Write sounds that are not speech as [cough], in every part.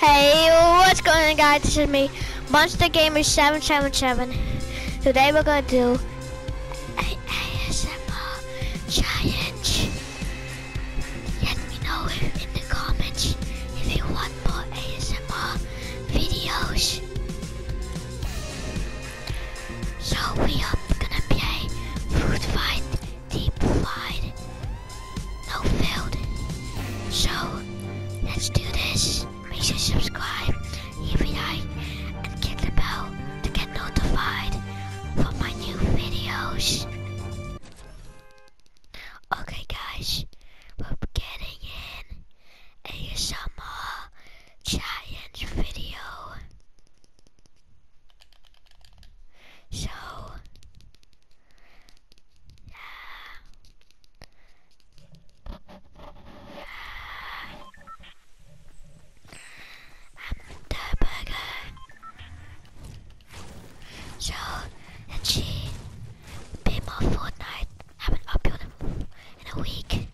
Hey, what's going on guys? This is me, Monster Gamer 777. Today we're gonna do an ASMR challenge. Let me know in the comments if you want more ASMR videos. So we are gonna play Fruit Fight Deep Flight. No fail. So let's do this. Make sure you subscribe if you like and click the bell to get notified for my new videos. Okay guys, we're getting in ASMR giant video. So, uh, uh, I'm the burger. So, and she, be more Fortnite. haven't uploaded in a week.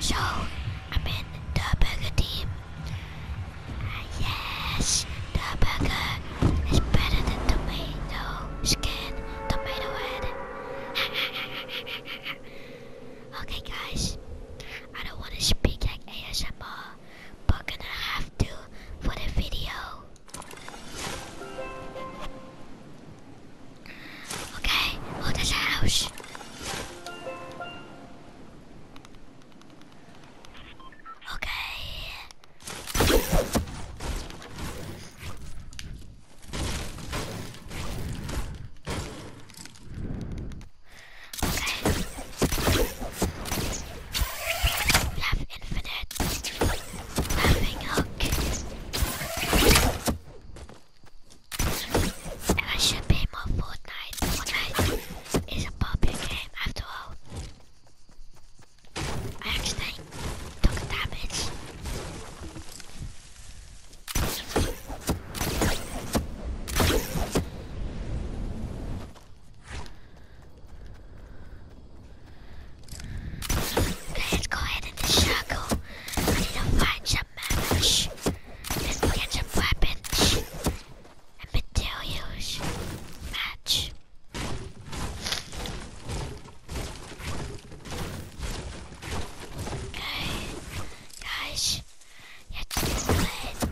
So, I'm in the burger team. Ah, yes, the burger is better than tomato skin, tomato head. [laughs] okay, guys, I don't want to speak like ASMR, but gonna have to for the video. Okay, hold the house. Okay. Okay. We have infinite. Having hook. I should be more Fortnite. Fortnite is a popular game after all. I actually took damage. Let's go ahead and the I need to find some mammals. get some weapons and materials. Match. Okay, guys, let's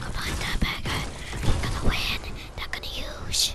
Come on, that bagger. they gonna win. they gonna use.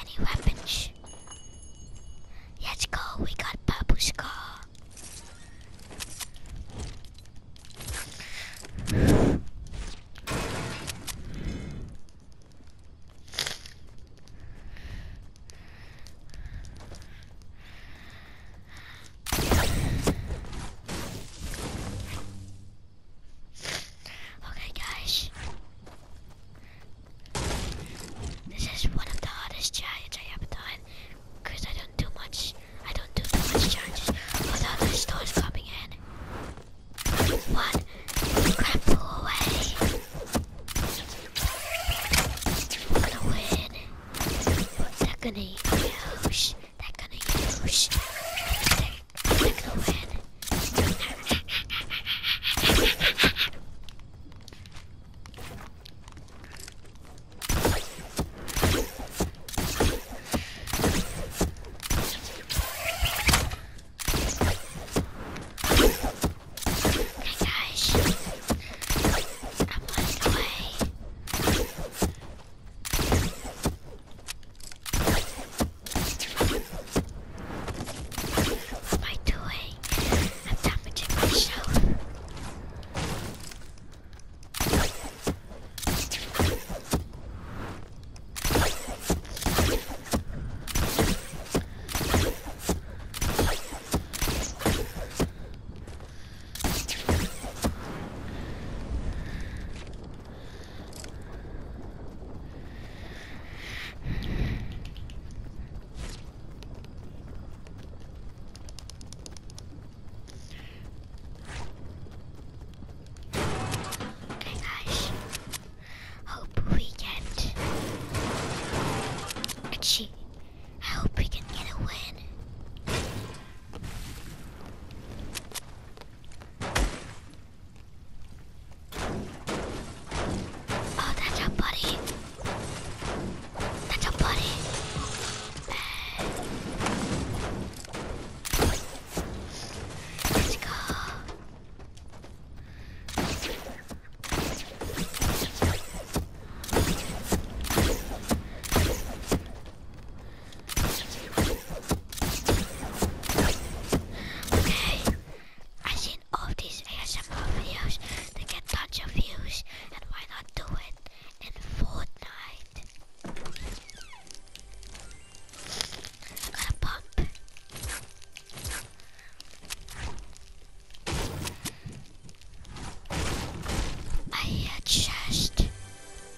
Any weapons? Let's go, we got Purple Scar. This is one of the hardest challenges I ever done because I don't do much. I don't do that much challenges without the stores coming in. One, crap away. We're gonna win. They're gonna use. They're gonna use. They're we're going. Hey guys, I'm on the way. What am I doing? I'm damaging myself. Okay guys, hope we get a I hope we can get a win. 아, 다저파리. 다저파리. Let's go. Okay, I've seen all these ASMR videos that get tons of views, and why not do it in Fortnite? i to pump. I hear chest.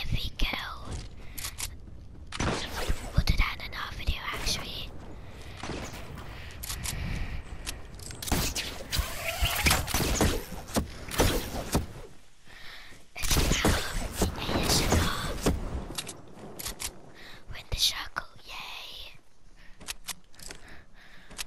every girl will do that in our video actually. It's about ASMR. Win the circle, yay!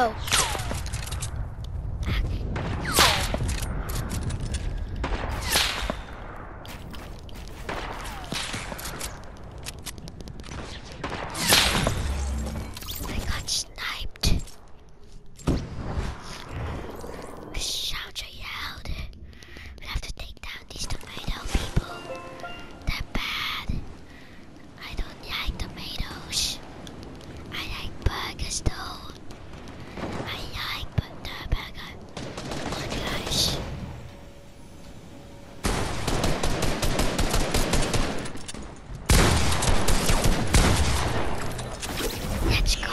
Oh. I got sniped. Shout I yelled. We have to take that these tomato people. They're bad. I don't like tomatoes. I like burgers though. I like burger. Come oh on guys. Let's go.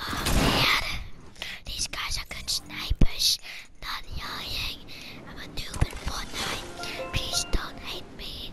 Oh man, these guys are good snipers. Not lying. I'm a noob in Fortnite. Please don't hate me.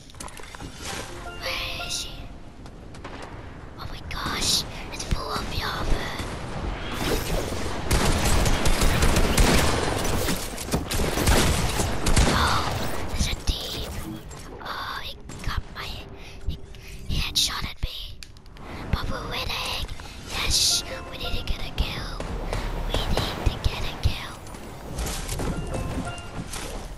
Where is she? Oh my gosh, it's full of yahoos. Oh, there's a a a team. got my head shot at me, but we're we We winning. Yes, need need to to get get lava.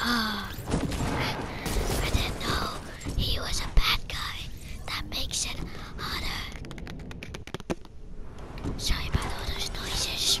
Ah, oh, I didn't know he was a bad guy. That makes it harder. Sorry about all those noises.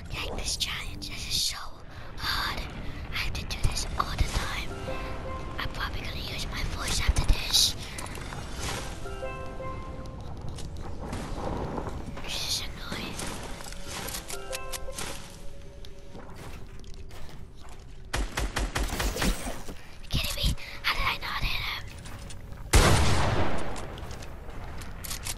don't this challenge. This is so hard. I have to do this all the time. I'm probably gonna use my voice after this. This is annoying. kidding me? How did I not hit him?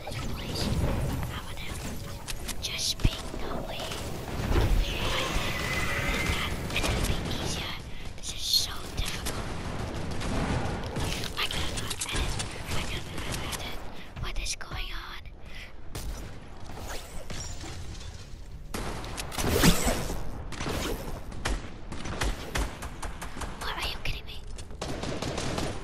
in this place. I wanna just speak normally. I think that it would be easier. This is so difficult. I cannot edit. I cannot edit what is going on. What are you kidding me?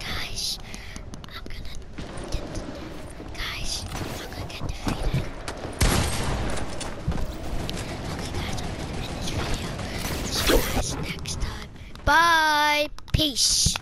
Guys, I'm gonna get defeated. guys, I'm gonna get defeated. Okay guys, I'm gonna end this video. See you guys next time. Bye. Peace.